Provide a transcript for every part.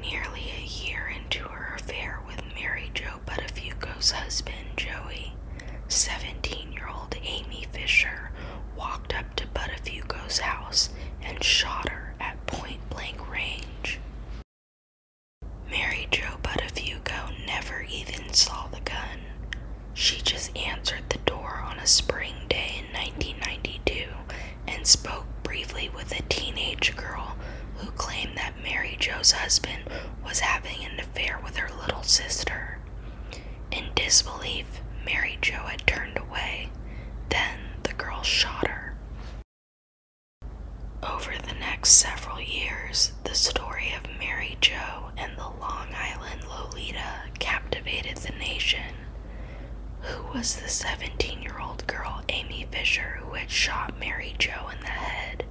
Nearly a year into her affair with Mary Jo Buttafuoco's husband, Joey, 17 year old Amy Fisher walked up to Buttafuoco's house and shot her at point blank range. Mary Jo Buttafuoco never even saw the gun. She just answered the door on a spring day 1992 and spoke briefly with a teenage girl who claimed that Mary Jo's husband was having an affair with her little sister. In disbelief, Mary Jo had turned away. Then the girl shot her. Over the next several years, the story of Mary Jo and the Long Island Lolita captivated the nation. Who was the 17 year old girl, Amy Fisher, who had shot Mary Joe in the head?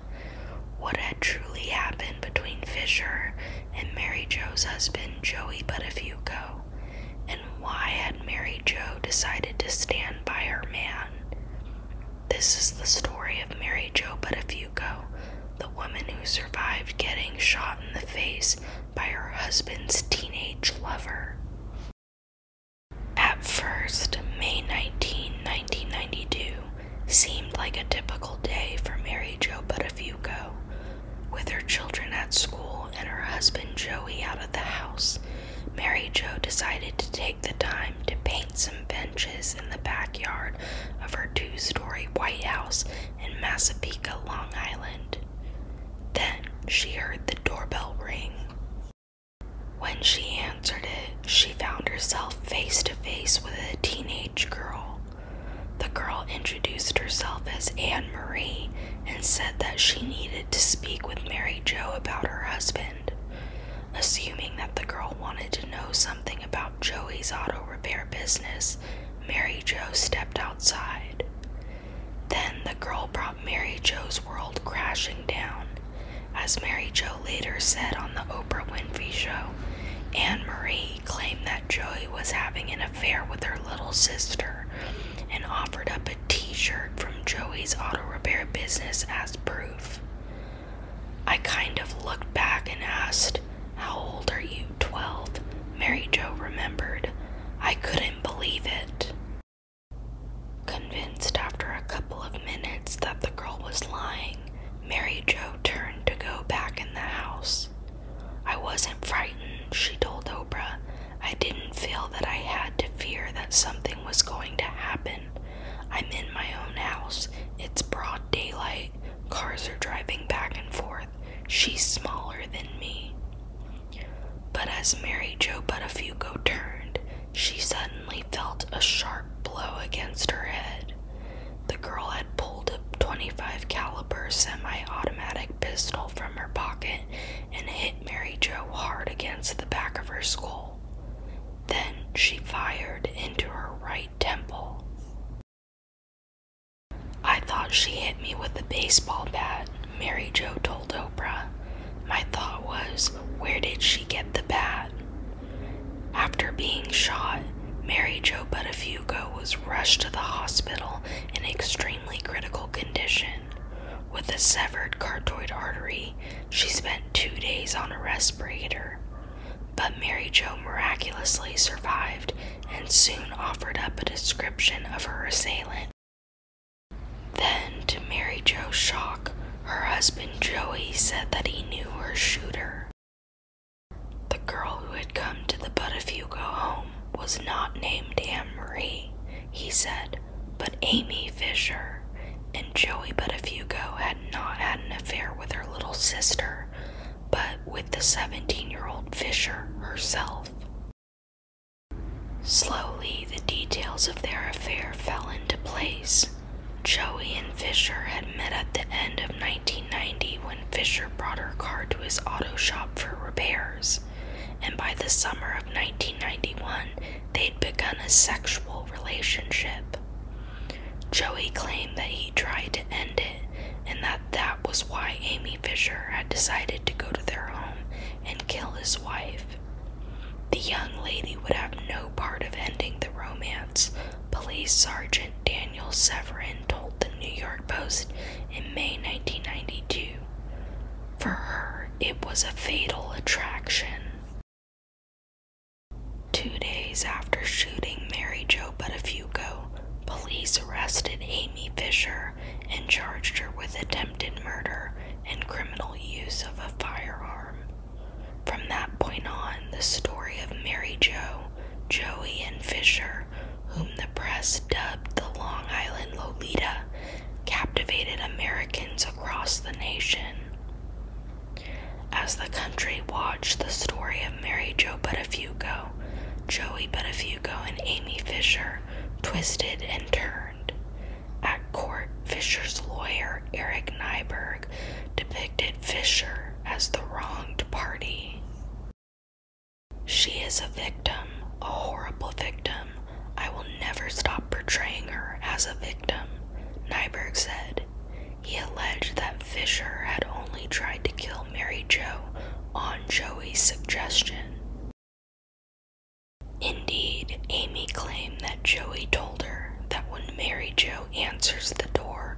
What had truly happened between Fisher and Mary Joe's husband, Joey Buttafuoco? And why had Mary Joe decided to stand by her man? This is the story of Mary Joe Buttafuoco, the woman who survived getting shot in the face by her husband's teenage lover. At first, May 19, 1992 seemed like a typical day for Mary Jo Buttafuoco. With her children at school and her husband Joey out of the house, Mary Jo decided to take the time to paint some benches in the backyard of her two story White House in Massapequa, Long Island. Then she heard the doorbell ring. When she answered it, she found herself face to face with a teenage girl. The girl introduced herself as Anne Marie and said that she needed to speak with Mary Jo about her husband. Assuming that the girl wanted to know something about Joey's auto repair business, Mary Jo stepped outside. Then the girl brought Mary Joe's world crashing down. As Mary Joe later said on the Oprah Winfrey Show, Anne Marie claimed that Joey was having an affair with her little sister and offered up a t shirt from Joey's auto repair business as proof. I kind of looked back and asked, How old are you? 12. Mary Joe remembered. I couldn't believe it. Convinced after a couple of minutes that the girl was lying, Mary Jo turned to go back in the house. I wasn't frightened, she told Oprah. I didn't feel that I had to fear that something was going to happen. I'm in my own house. It's broad daylight. Cars are driving back and forth. She's smaller than me. But as Mary Jo Buttafuoco turned, she suddenly felt a sharp blow against her head. The girl had pulled a 25 caliber semi-automatic pistol from her pocket and hit Mary Jo hard against the back of her skull. Then she fired into her right temple. I thought she hit me with a baseball bat, Mary Joe told Oprah. My thought was, where did she get the bat? After being shot, Mary Jo Buttafuoco was rushed to the hospital in extremely critical condition. With a severed carotid artery, she spent two days on a respirator. But Mary Jo miraculously survived and soon offered up a description of her assailant. Then, to Mary Jo's shock, her husband Joey said that he knew her shooter. The girl who had come to the Buttafuoco home was not named Anne Marie, he said, but Amy Fisher, and Joey Buttafuoco had not had an affair with her little sister, but with the 17 year old Fisher herself. Slowly, the details of their affair fell into place. Joey and Fisher had met at the end of 1990 when Fisher brought her car to his auto shop for repairs, and by the summer of 1991, they'd begun a sexual relationship. Joey claimed that he tried to end it and that that was why Amy Fisher had decided to go to their home and kill his wife. The young lady would have no part of ending the romance, Police Sergeant Daniel Severin told the New York Post in May 1992. For her, it was a fatal attraction. Two days after shooting Mary Jo Buttafuoco, police arrested Amy Fisher and charged her with attempted murder and criminal use of a firearm. From that point on, the story of Mary Joe, Joey, and Fisher, whom the press dubbed the Long Island Lolita, captivated Americans across the nation. As the country watched the story of Mary Jo Buttafuoco, Joey Buttafuoco, and Amy Fisher twisted and turned. At court, Fisher's lawyer, Eric Nyberg, depicted Fisher as the wronged party. She is a victim, a horrible victim. I will never stop portraying her as a victim, Nyberg said. He alleged that Fisher had only tried to kill Mary Jo on Joey's suggestion. Indeed, Amy claimed that Joey told her that when Mary Jo answers the door,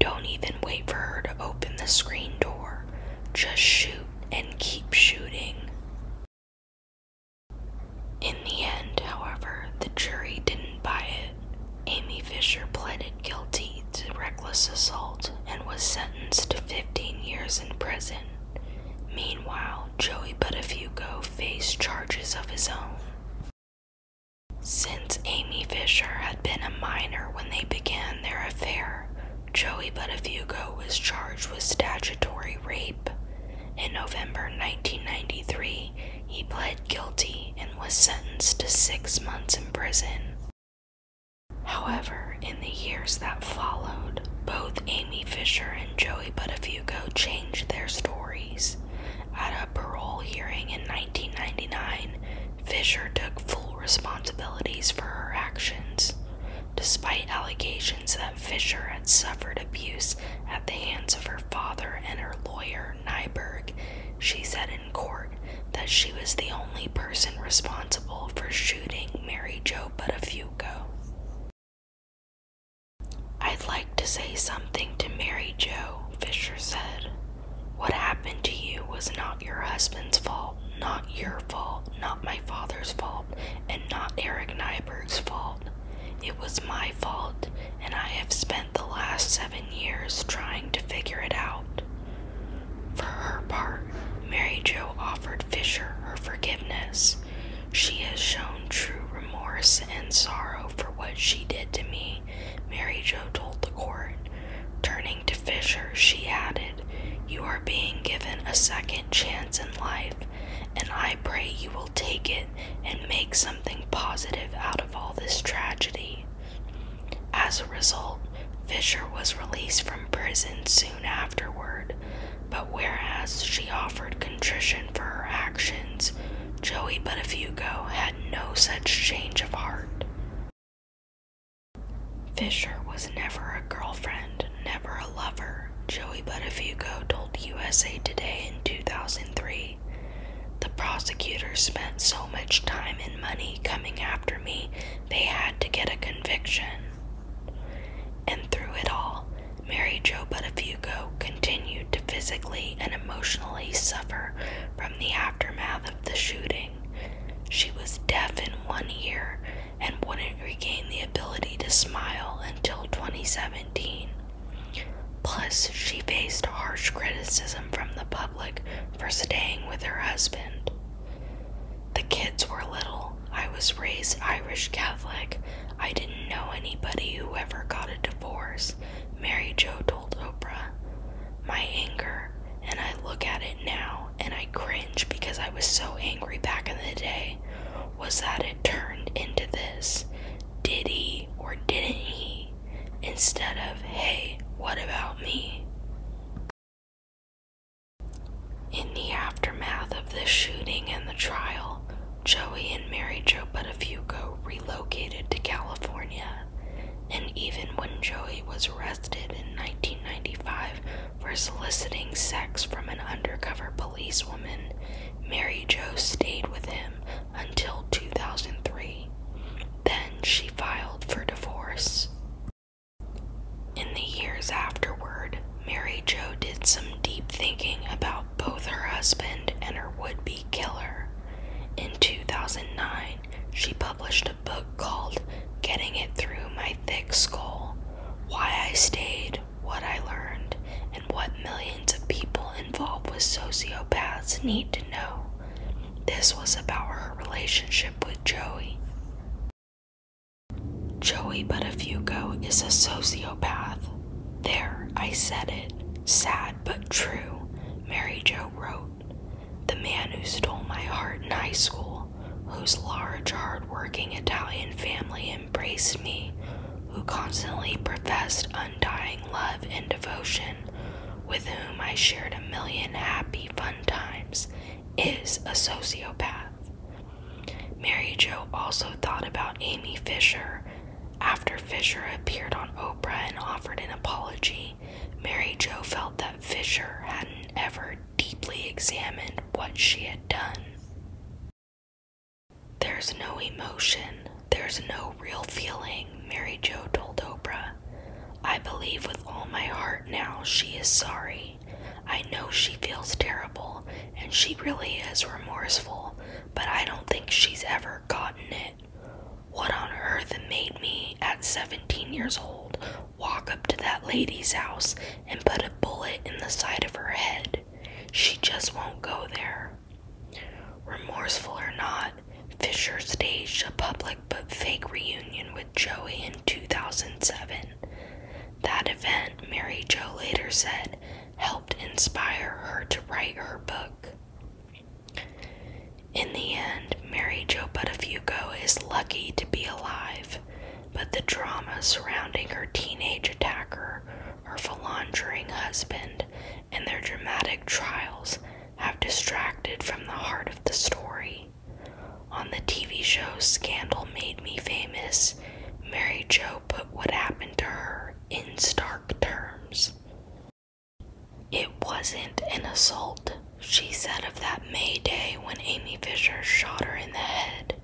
don't even wait for her to open the screen door. Just shoot and keep shooting. In the end, however, the jury didn't buy it. Amy Fisher pleaded guilty to reckless assault and was sentenced to 15 years in prison. Meanwhile, Joey Buttafuoco faced charges of his own. Since Amy Fisher had been a minor when they began their affair, Joey Buttafuoco was charged with statutory rape. In November 1993, he pled guilty and was sentenced to six months in prison. However, in the years that followed, both Amy Fisher and Joey Buttafuoco changed their stories. At a parole hearing in 1999, Fisher took full responsibilities for her actions. Despite allegations that Fisher had suffered abuse at the hands of her father and her lawyer, Nyberg, she said in court that she was the only person responsible for shooting Mary Jo Buttafuoco. I'd like to say something to Mary Joe, Fisher said. What happened to you was not your husband's fault, not your fault, not my father's fault, and not Eric Nyberg's fault. It was my fault, and I have spent the last seven years trying to figure it out. For her part, Mary Jo offered Fisher her forgiveness. She has shown true remorse and sorrow for what she did to me, Mary Jo told the court. Turning to Fisher, she added, You are being given a second chance in life, and I pray you will take it and make something positive out of all this tragedy. As a result, Fisher was released from prison soon soon afterward, but whereas she offered contrition for her actions, Joey Buttafuoco had no such change of heart. Fisher was never a girlfriend, never a lover, Joey Buttafuoco told USA Today in 2003. The prosecutors spent so much time and money coming after me, they had to get a conviction. And through it all, Mary Jo Buttafuoco continued to physically and emotionally suffer from the aftermath of the shooting. She was deaf in one ear and wouldn't regain the ability to smile until 2017. Plus, she faced harsh criticism from the public for staying with her husband. The kids were little, I was raised Irish Catholic. I didn't know anybody who ever got a divorce, Mary Jo told Oprah. My anger, and I look at it now and I cringe because I was so angry back in the day, was that it turned into this did he or didn't he? Instead of, hey, what about me? In the aftermath of this shooting and the trial, Joey and Mary Jo Buttafuoco relocated to California, and even when Joey was arrested in 1995 for soliciting sex from an undercover police woman, Mary Jo stayed with him until 2003. Then she filed for divorce. In the years afterward, Mary Jo did some deep thinking about both her husband and her would be killer. In 2009, she published a book called Getting It Through My Thick Skull Why I Stayed, What I Learned, and What Millions of People Involved with Sociopaths Need to Know. This was about her relationship with Joey. Joey Buttafuoco is a sociopath. There, I said it. Sad but true, Mary Jo wrote. The man who stole my heart in high school, whose large, hard-working Italian family embraced me, who constantly professed undying love and devotion, with whom I shared a million happy, fun times, is a sociopath. Mary Jo also thought about Amy Fisher. After Fisher appeared on Oprah and offered an apology, Mary Jo felt that Fisher hadn't ever deeply examined what she had done. There's no emotion, there's no real feeling, Mary Jo told Oprah. I believe with all my heart now she is sorry. I know she feels terrible and she really is remorseful, but I don't think she's ever gotten it. What on earth made me, at 17 years old, walk up to that lady's house and put a bullet in the side of her head? She just won't go there. Remorseful or not, Fisher staged a public but fake reunion with Joey in 2007. That event, Mary Jo later said, helped inspire her to write her book. In the end, Mary Jo Buttafuoco is lucky to be alive, but the drama surrounding her teenage attacker, her philandering husband, and their dramatic trials have distracted from the heart of the story. On the TV show Scandal Made Me Famous, Mary Jo put what happened to her in stark terms. It wasn't an assault, she said of that May day when Amy Fisher shot her in the head.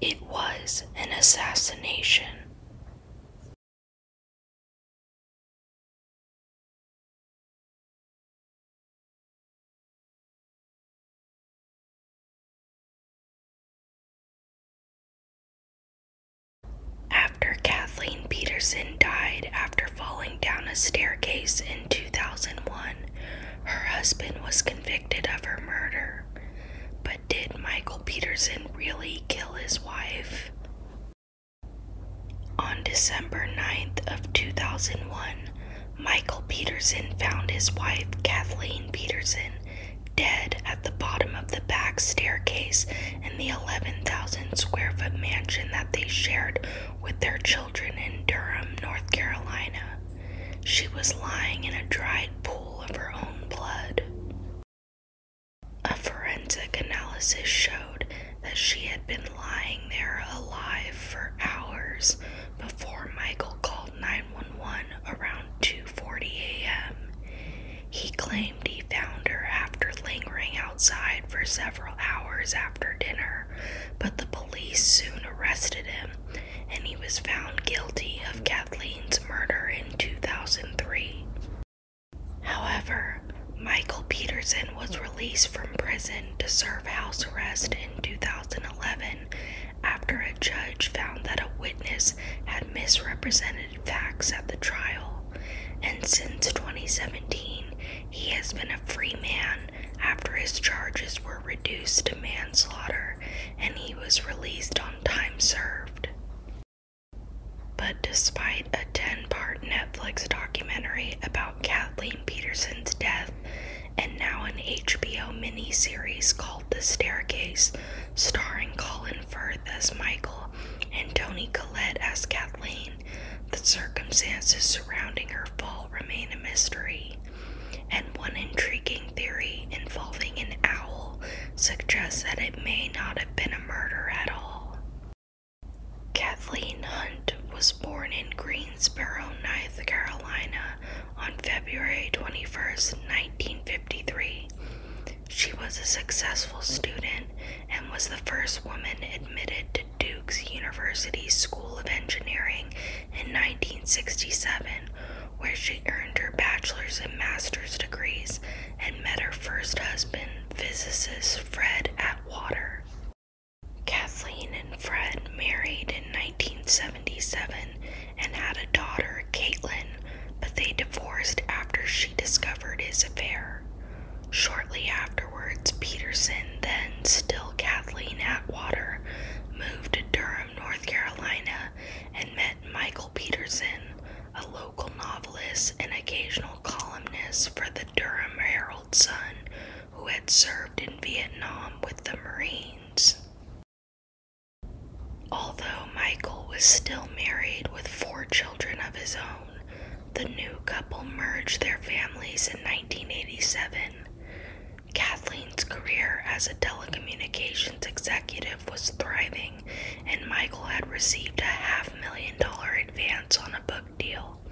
It was an assassination. After Kathleen Peterson died after falling down a staircase in 2001, her husband was convicted of her murder. But did Michael Peterson really kill his wife? On December 9th of 2001, Michael Peterson found his wife Kathleen Peterson dead at the bottom of the back staircase in the 11,000 square foot mansion that they shared with their children in Durham, North Carolina. She was lying in a dried pool of her own blood. A forensic analysis showed that she had been lying there alive for hours before Michael called. 911 around 2:40 a.m. He claimed he found her after lingering outside for several hours after dinner, but the police soon arrested him and he was found guilty of Kathleen's murder in 2003. However, Michael Peterson was released from prison to serve house arrest in 2011 after a judge found that a witness had misrepresented facts at the trial, and since 2017, he has been a free man after his charges were reduced to manslaughter and he was released on time served. But despite a 10 part Netflix documentary about Kathleen Peterson's death, and now an HBO miniseries called The Staircase, starring Colin as Michael and Tony Collette as Kathleen. The circumstances surrounding her fall remain a mystery, and one intriguing theory involving an owl suggests that it may not have been a murder at all. Kathleen Hunt was born in Greensboro, North Carolina on February 21, 1953. She was a successful student and was the first woman admitted to Duke's University School of Engineering in 1967, where she earned her bachelor's and master's degrees and met her first husband, physicist Fred Atwater. Kathleen and Fred married in 1977 and had a daughter, Caitlin, but they divorced after she discovered his affair. Shortly afterwards, Peterson, then still Kathleen Atwater, moved to Durham, North Carolina, and met Michael Peterson, a local novelist and occasional columnist for the Durham Herald Sun, who had served in Vietnam with the Marines. Although Michael was still married with four children of his own, the new couple merged their families in 1987. Kathleen's career as a telecommunications executive was thriving, and Michael had received a half million dollar advance on a book deal.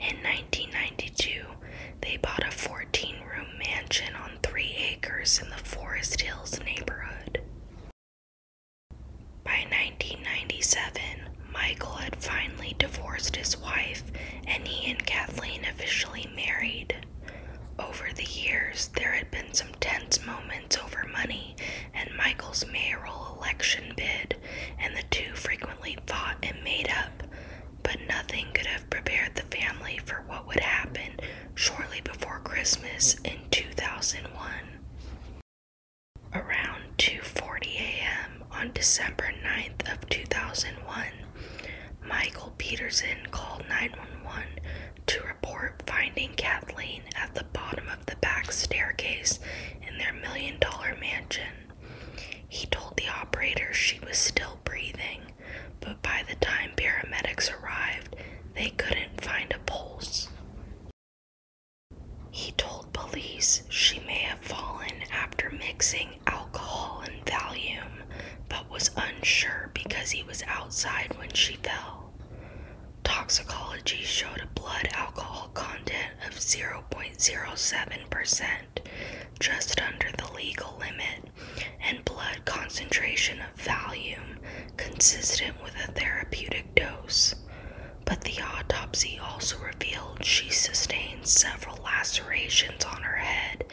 In 1992, they bought a 14 room mansion on three acres in the Forest Hills neighborhood. By 1997, Michael had finally divorced his wife and he and Kathleen officially married. Over the years, there had been some tense moments over money and Michael's mayoral election bid, and the two frequently fought and made up, but nothing could have prepared the family for what would happen shortly before Christmas in 2001. Around 2:40 a.m. on December 9th of 2001, Michael Peterson called 911 to report finding Kathleen at the bottom of the back staircase in their million dollar mansion. He told the operator she was still breathing, but by the time paramedics arrived, they couldn't find a pulse. He told police she may have fallen after mixing alcohol and Valium, but was unsure because he was outside when she fell. Toxicology showed a blood alcohol content of 0.07%, just under the legal limit, and blood concentration Volume consistent with a therapeutic dose, but the autopsy also revealed she sustained several lacerations on her head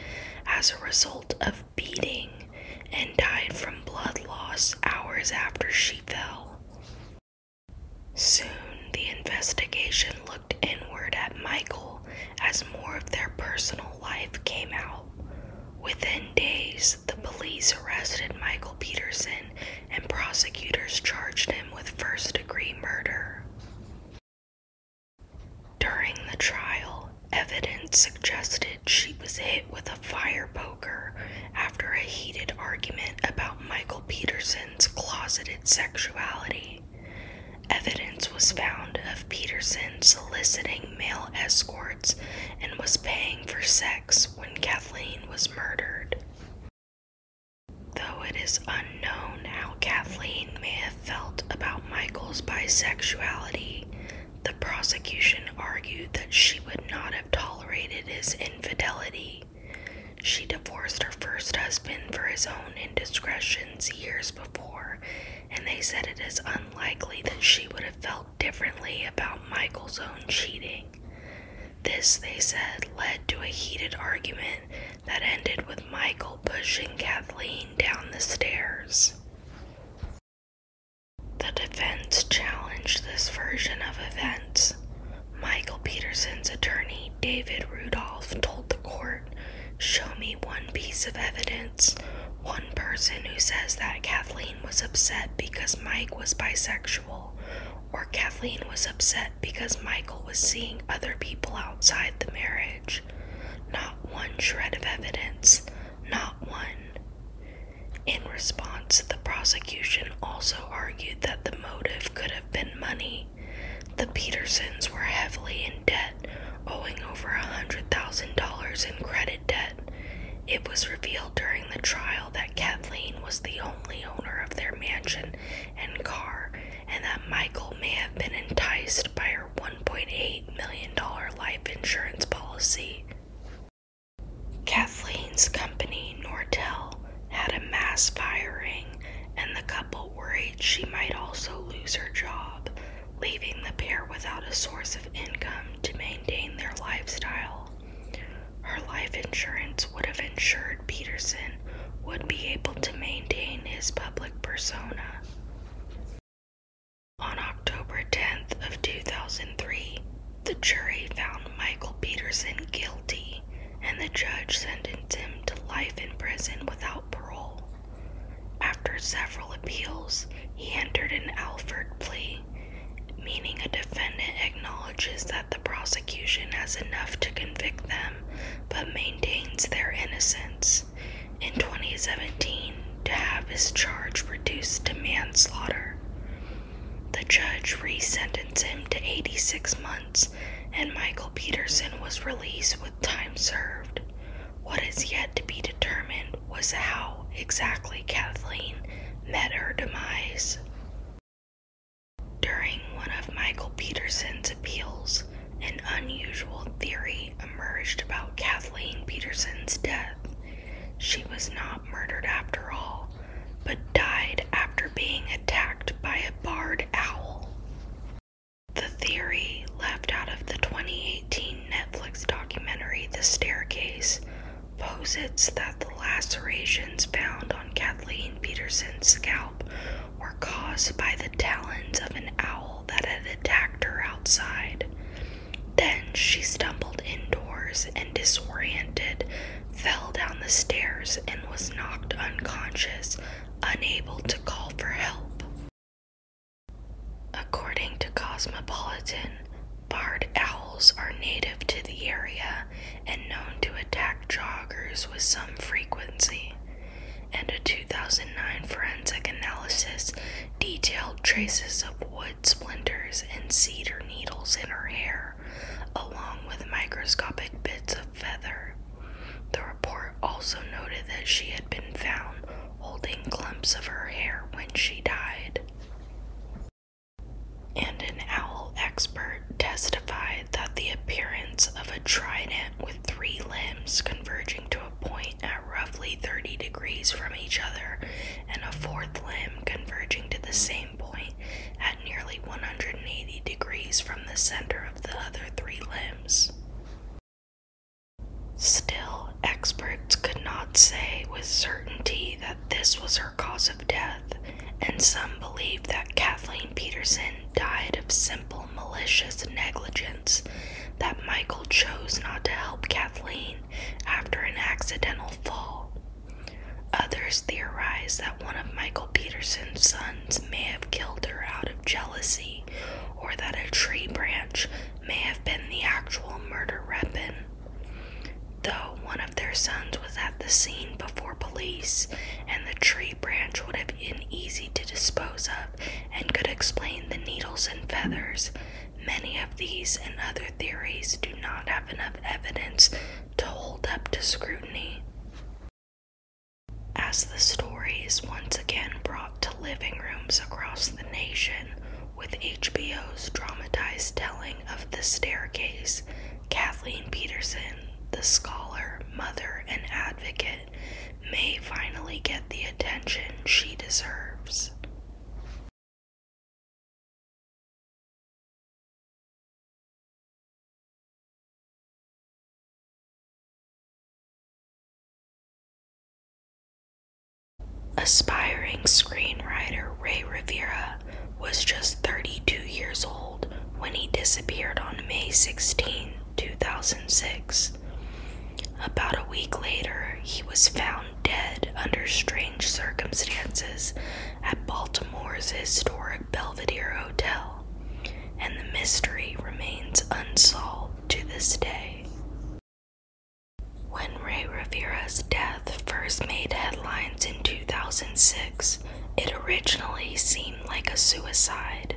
as a result of beating and died from blood loss hours after she fell. Soon, the investigation looked inward at Michael as more of their personal life came out. Within days, the police arrested Michael Peterson and prosecutors charged him with first degree murder. During the trial, evidence suggested she was hit with a fire poker after a heated argument about Michael Peterson's closeted sexuality. Evidence was found of Peterson soliciting male escorts and was paying for sex when Kathleen was murdered. Though it is unknown how Kathleen may have felt about Michael's bisexuality, the prosecution argued that she would not have tolerated his infidelity. She divorced her first husband for his own indiscretions years before, and they said it is unlikely that she would have felt differently about Michael's own cheating. This, they said, led to a heated argument that ended with Michael pushing Kathleen down the stairs. The defense challenged this version of events. Michael Peterson's attorney, David Rudolph, told the court Show me one piece of evidence one person who says that Kathleen was upset because Mike was bisexual, or Kathleen was upset because Michael was seeing other people outside the marriage. Not one shred of evidence, not one. In response, the prosecution also argued that the motive could have been money. The Petersons were heavily in debt, owing over $100,000 in credit debt. It was revealed during the trial that Kathleen was the only owner of their mansion and car, and that Michael may have been enticed by her $1.8 million life insurance policy. Kathleen's company, Nortel, had a mass firing, and the couple worried she might also lose her job, leaving the pair without a source of income to maintain their lifestyle. Her life insurance would have ensured Peterson would be able to maintain his public persona. On October 10th of 2003, the jury found Michael Peterson guilty and the judge sentenced him to life in prison without parole. After several appeals, he entered an Alford plea meaning a defendant acknowledges that the prosecution has enough to convict them but maintains their innocence. In 2017, to have his charge reduced to manslaughter. The judge resentenced him to 86 months, and Michael Peterson was released with time served. What is yet to be determined was how exactly Kathleen met her demise. During one of Michael Peterson's appeals, an unusual theory emerged about Kathleen Peterson's death. She was not murdered after all, but died after being attacked by a barred owl. The theory, left out of the 2018 Netflix documentary The Staircase, posits that the lacerations found on Kathleen Peterson's scalp were caused by the talons of an owl that had attacked her outside. Then she stumbled indoors and, disoriented, fell down the stairs and was knocked unconscious, unable to call for help. According to Cosmopolitan, Barred owls are native to the area and known to attack joggers with some frequency. And a 2009 forensic analysis detailed traces of wood splinters and cedar needles in her hair, along with microscopic bits of feather. The report also noted that she had been found holding clumps of her hair when she died. And an owl expert testified that the appearance of a trident with three limbs converging to a point at roughly 30 degrees from each other and a fourth limb converging to the same point at nearly 180 degrees from the center of the other three limbs. Still, experts could not say with certainty that this was her cause death, and some believe that Kathleen Peterson died of simple malicious negligence, that Michael chose not to help Kathleen after an accidental fall. Others theorize that one of Michael Peterson's sons may have killed her out of jealousy, or that a tree branch may have been the actual murder weapon. Though one of their sons was at the scene before police, and the tree branch would have been easy to dispose of and could explain the needles and feathers, many of these and other theories do not have enough evidence to hold up to scrutiny. As the story is once again brought to living rooms across the nation, with HBO's dramatized telling of The Staircase, Kathleen Peterson, the scholar, mother, and advocate, may finally get the attention she deserves. Aspiring screenwriter Ray Rivera was just 32 years old when he disappeared on May 16, 2006. About a week later, he was found dead under strange circumstances at Baltimore's historic Belvedere Hotel, and the mystery remains unsolved to this day. When Ray Rivera's death first made headlines in 2006, it originally seemed like a suicide.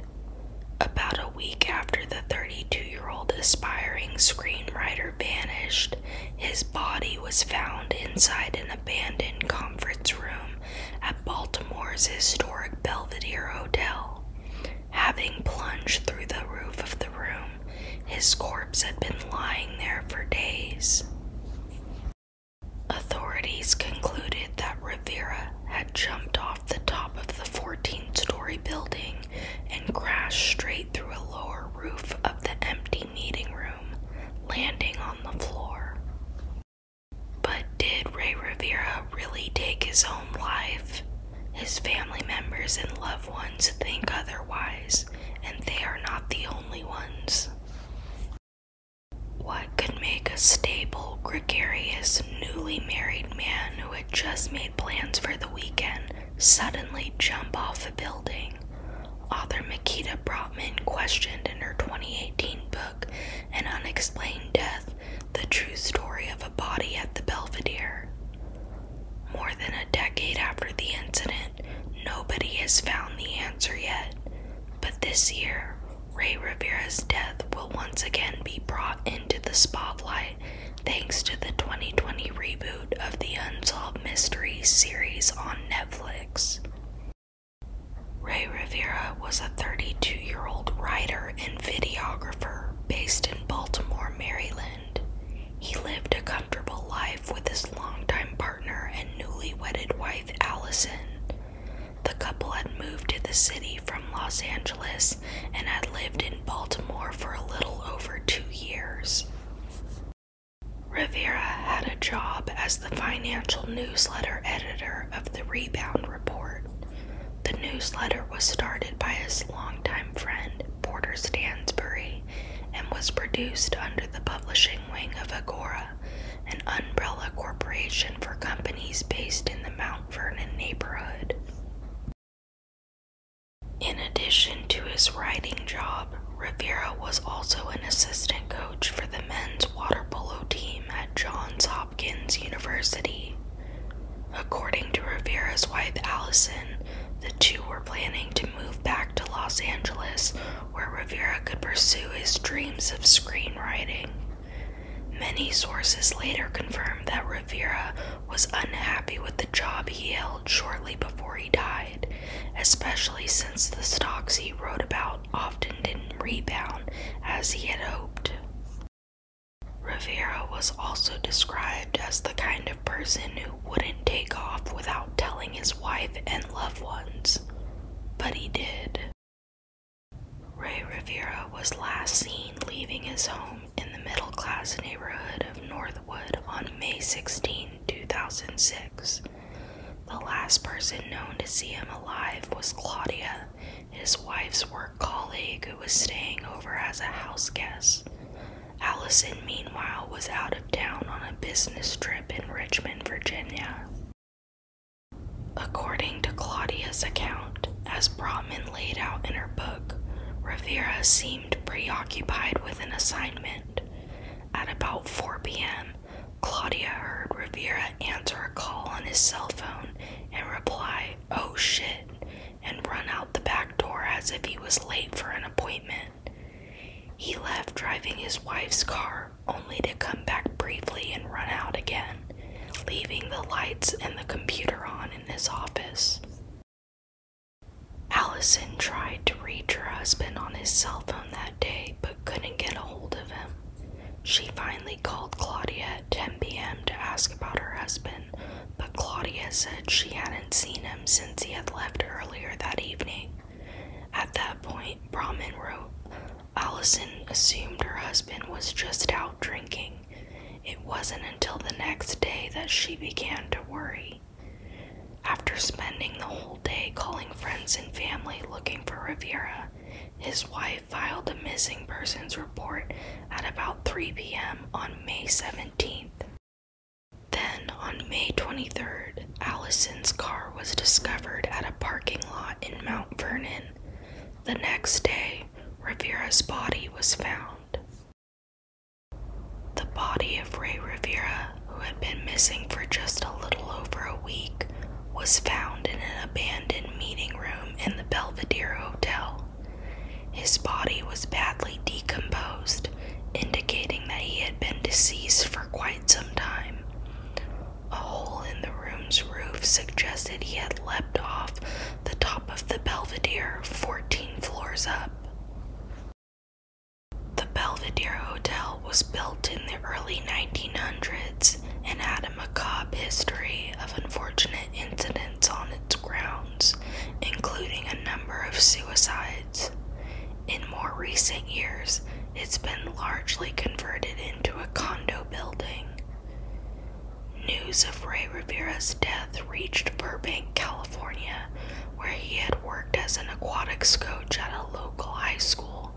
About a week after the 32 year old aspiring screenwriter vanished, his body was found inside an abandoned conference room at Baltimore's historic Belvedere Hotel. Having plunged through the roof of the room, his corpse had been lying there for days. Authorities concluded that Rivera had jumped off the top of the 14 story building and crashed straight through a lower roof of the empty meeting room, landing on the floor. But did Ray Rivera really take his own life? His family members and loved ones think otherwise, and they are not the only ones. What could make a stable, gregarious, newly married man who had just made plans for the weekend suddenly jump off a building? Author Makita Broughtman questioned in her 2018 book, An Unexplained Death The True Story of a Body at the Belvedere. More than a decade after the incident, nobody has found the answer yet. But this year, Ray Rivera's death will once again be brought into the spotlight thanks to the 2020 reboot of the Unsolved Mysteries series on Netflix. Ray Rivera was a 32 year old writer and videographer based in Baltimore, Maryland. He lived a comfortable life with his longtime partner and newlywed wife Allison. The couple had moved to the city from Los Angeles and had lived in Baltimore for a little over two years. Rivera had a job as the financial newsletter editor of the Rebound Report. The newsletter was started by his longtime friend, Porter Stansbury and was produced under the publishing wing of Agora, an umbrella corporation for companies based in the Mount Vernon neighborhood. In addition to his writing job, Rivera was also an assistant coach for the men's water polo team at Johns Hopkins University. According to Rivera's wife Allison, the two were planning to move back to Los Angeles where Rivera could pursue his dreams of screenwriting. Many sources later confirmed that Rivera was unhappy with the job he held shortly before he died, especially since the stocks he wrote about often didn't rebound as he had hoped. Rivera was also described as the kind of person who wouldn't take off without telling his wife and loved ones, but he did. Ray Rivera was last seen leaving his home in the middle class neighborhood of Northwood on May 16, 2006. The last person known to see him alive was Claudia, his wife's work colleague who was staying over as a house guest. Allison, meanwhile, was out of town on a business trip in Richmond, Virginia. According to Claudia's account, as Brotman laid out in her book, Rivera seemed preoccupied with an assignment. At about 4 p.m., Claudia heard Rivera answer a call on his cell phone and reply, Oh shit, and run out the back door as if he was late for an appointment. He left driving his wife's car, only to come back briefly and run out again, leaving the lights and the computer on in his office. Allison tried to reach her husband on his cell phone that day but couldn't get a hold of him. She finally called Claudia at 10 p.m. to ask about her husband, but Claudia said she hadn't seen him since he had left earlier that evening at that point, Brahman wrote, Allison assumed her husband was just out drinking. It wasn't until the next day that she began to worry. After spending the whole day calling friends and family looking for Rivera, his wife filed a missing persons report at about 3 p.m. on May 17th. Then, on May 23rd, Allison's car was discovered at a parking lot in Mount Vernon. The next day, Rivera's body was found. The body of Ray Rivera, who had been missing for just a little over a week, was found in an abandoned meeting room in the Belvedere Hotel. His body was badly decomposed, indicating that he had been deceased for quite some time. A hole in the room's roof suggested he had leapt off the top of the Belvedere, 14 floors up. The Belvedere Hotel was built in the early 1900s and had a macabre history of unfortunate incidents on its grounds, including a number of suicides. In more recent years, it's been largely converted into a condo building. News of Ray Rivera's death reached Burbank, California, where he had worked as an aquatics coach at a local high school.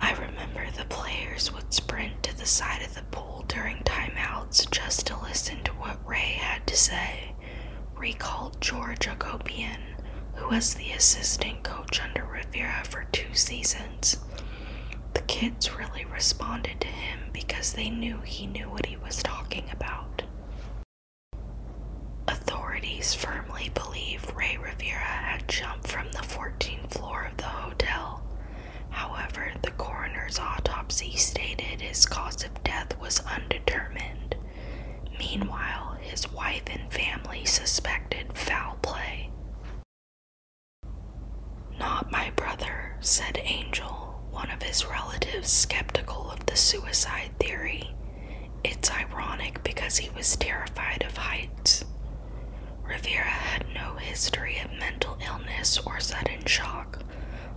I remember the players would sprint to the side of the pool during timeouts just to listen to what Ray had to say, recalled George Okopian, who was the assistant coach under Rivera for two seasons. The kids really responded to him because they knew he knew what he was talking about. Authorities firmly believe Ray Rivera had jumped from the 14th floor of the hotel. However, the coroner's autopsy stated his cause of death was undetermined. Meanwhile, his wife and family suspected foul play. Not my brother, said Angel, one of his relatives skeptical of the suicide theory. It's ironic because he was terrified of heights. Rivera had no history of mental illness or sudden shock.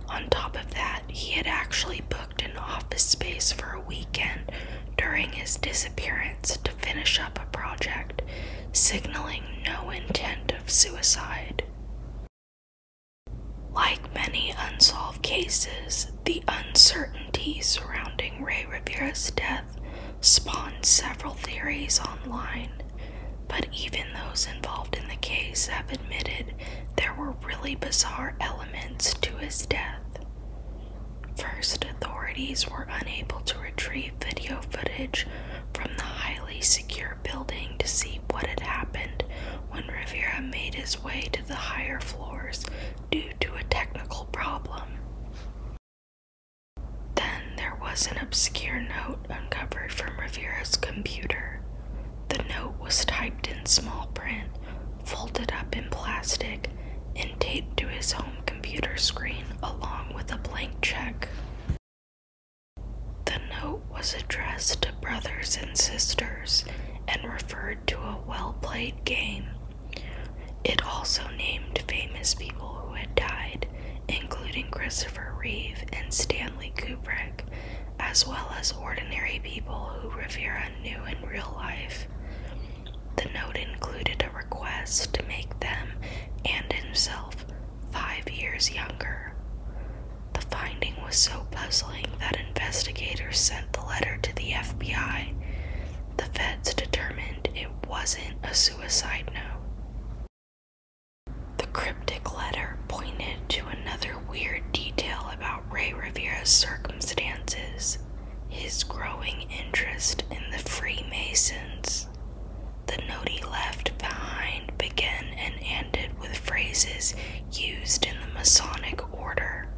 On top of that, he had actually booked an office space for weekend during his disappearance to finish up a project, signaling no intent of suicide. Like many unsolved cases, the uncertainty surrounding Ray Rivera's death spawned several theories online, but even those involved in the case have admitted there were really bizarre elements to his death. First, authorities were unable to retrieve video footage from the highly secure building to see what had happened when Rivera made his way to the higher floors due to a technical problem. Then there was an obscure note uncovered from Rivera's computer. The note was typed in small print, folded up in plastic and taped to his home computer screen along with a blank check. The note was addressed to brothers and sisters and referred to a well played game. It also named famous people who had died, including Christopher Reeve and Stanley Kubrick, as well as ordinary people who Rivera knew in real life. The note included a request to make them and himself five years younger. The finding was so puzzling that investigators sent the letter to the FBI. The feds determined it wasn't a suicide note. The cryptic letter pointed to another weird detail about Ray Rivera's circumstances his growing interest in the Freemasons. The note he left behind began and ended with phrases used in the Masonic Order.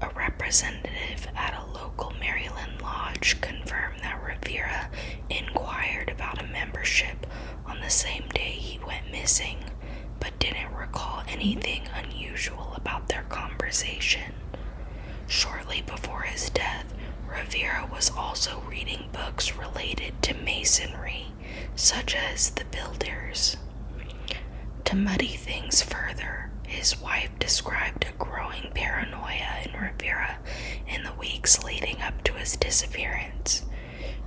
A representative at a local Maryland lodge confirmed that Rivera inquired about a membership on the same day he went missing, but didn't recall anything unusual about their conversation. Shortly before his death, Rivera was also reading books related to masonry, such as The Builders. To muddy things further, his wife described a growing paranoia in Rivera in the weeks leading up to his disappearance.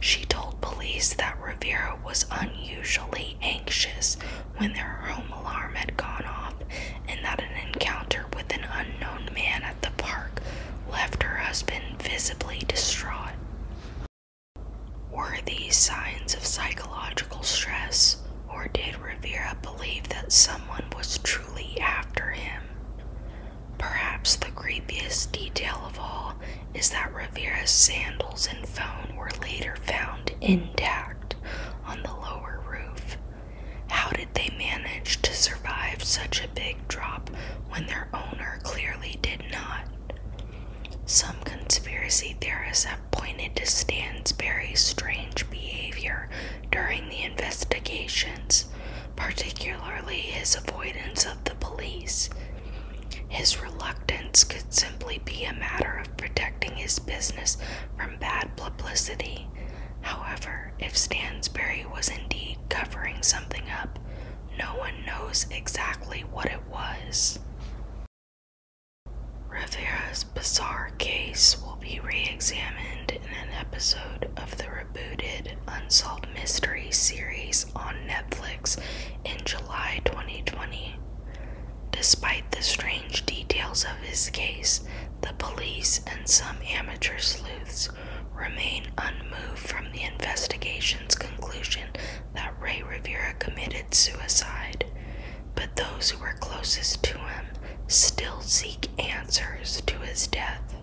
She told police that Rivera was unusually anxious when their home alarm had gone off and that an encounter with an unknown man at the park left her husband visibly distraught. Were these signs of psychological stress, or did Rivera believe that someone was truly after him? Perhaps the creepiest detail of all is that Rivera's sandals and phone were later found intact, on the lower roof. How did they manage to survive such a big drop when their owner clearly did not? Some conspiracy theorists have pointed to Stansberry's strange behavior during the investigations, particularly his avoidance of the police. His reluctance could simply be a matter protecting his business from bad publicity. However, if Stansbury was indeed covering something up, no one knows exactly what it was. Rivera's bizarre case will be re examined in an episode of the rebooted Unsolved Mysteries series on Netflix in July 2020. Despite the strange details of his case, the police and some amateur sleuths remain unmoved from the investigation's conclusion that Ray Rivera committed suicide. But those who were closest to him still seek answers to his death.